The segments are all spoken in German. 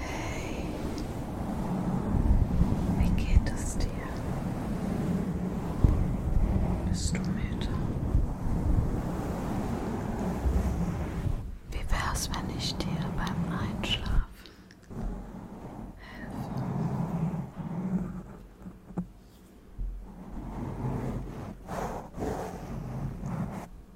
Hey, wie geht es dir? Bist du müde? Wie wär's, wenn ich dir beim Einschlafen helfe?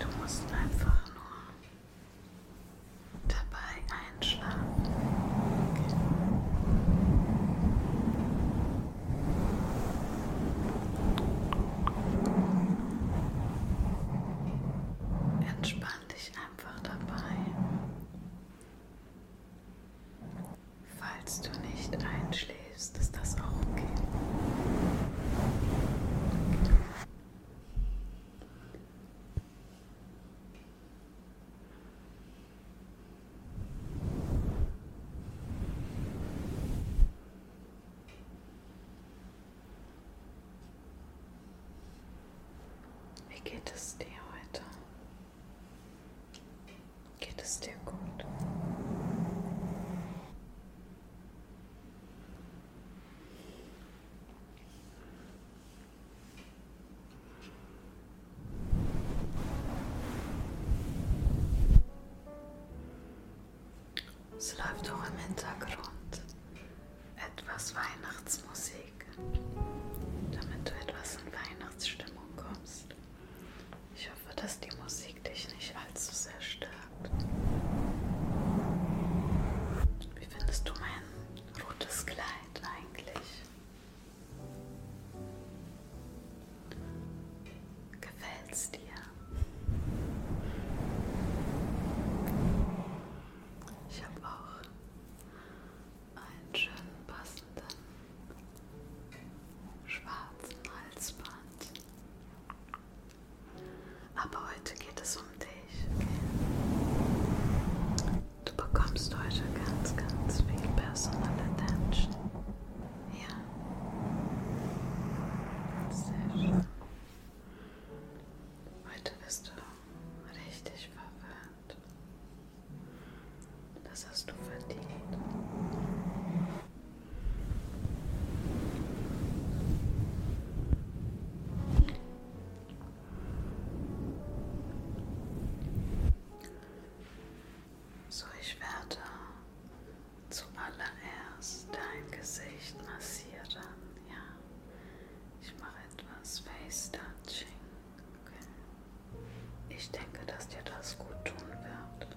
Du musst einfach nur dabei einschlafen. Okay. Entspann dich einfach dabei. Falls du nicht einschläfst, bist, ist das auch okay. Wie geht es dir heute? Geht es dir gut? Es läuft auch im Hintergrund etwas Weihnachtsmusik, damit du etwas in Weihnachtsstimmung kommst. Ich hoffe, dass die Musik beweg dich nicht allzu sehr stark. Wie findest du mein rotes Kleid eigentlich? Gefällt's dir? Ich habe auch einen schönen passenden schwarzen Halsband. Aber heute geht es um dich. Okay? Du bekommst heute ganz, ganz viel Personal Attention. Ja. Sehr schön. Heute bist du richtig verwirrt. Das hast du verdient. So, ich werde zuallererst dein Gesicht massieren. Ja, ich mache etwas Face Touching. Okay. Ich denke, dass dir das gut tun wird.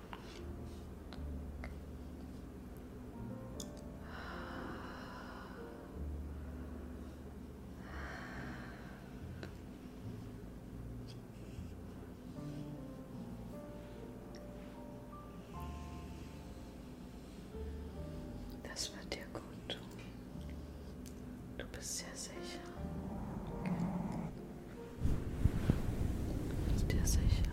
Das wird dir gut tun. Du bist sehr sicher. Du bist dir sicher.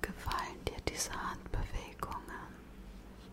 Gefallen dir diese Handbewegungen?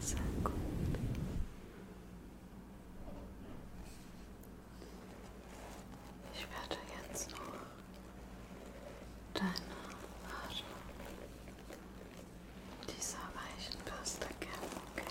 Sehr gut. Ich werde jetzt noch deine Haare mit dieser weichen Bürste kämmen, okay? Sehr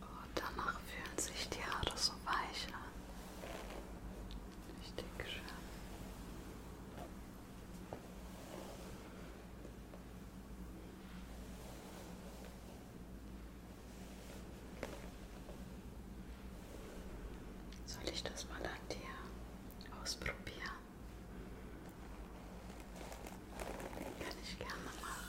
Und danach fühlen sich die Haare so weich an. Richtig schön. Soll ich das mal an dir ausprobieren? Kann ich gerne machen.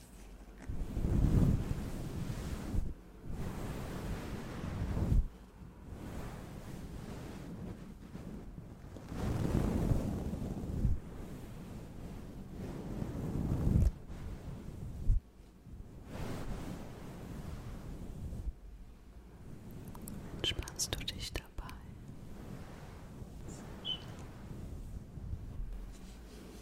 Entspannst du dich dabei?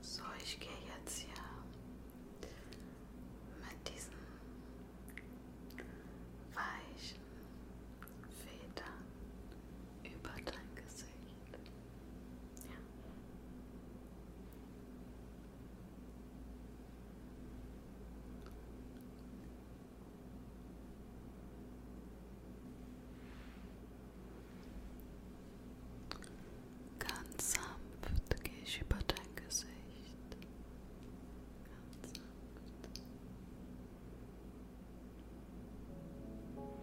So, ich gehe jetzt hier mit diesem weichen Federn über dein Gesicht. Ja. Ganz sanft gehe ich über dein Gesicht. Ganz sanft. Ganz sanft.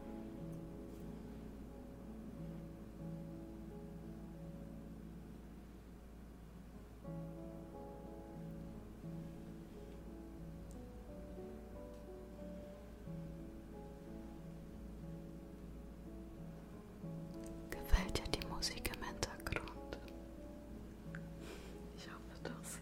Gefällt dir die Musik im Hintergrund? Ich hoffe doch sehr.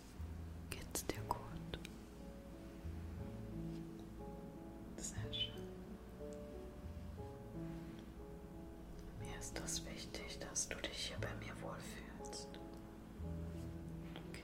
Geht's dir gut? Sehr schön. Mir ist das wichtig, dass du dich hier bei mir wohlfühlst. Okay.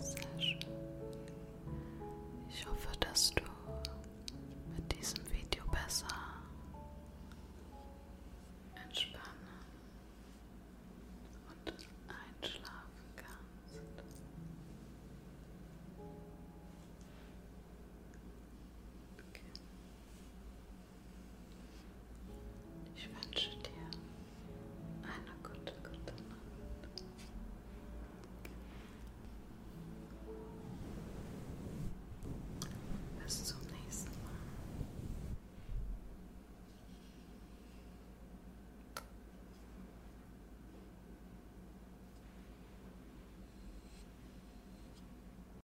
Sehr schön. Ich hoffe, dass du mit diesem Video besser entspannen und einschlafen kannst. Okay. Ich wünsche dir eine gute, gute Nacht. Bis zum nächsten Mal.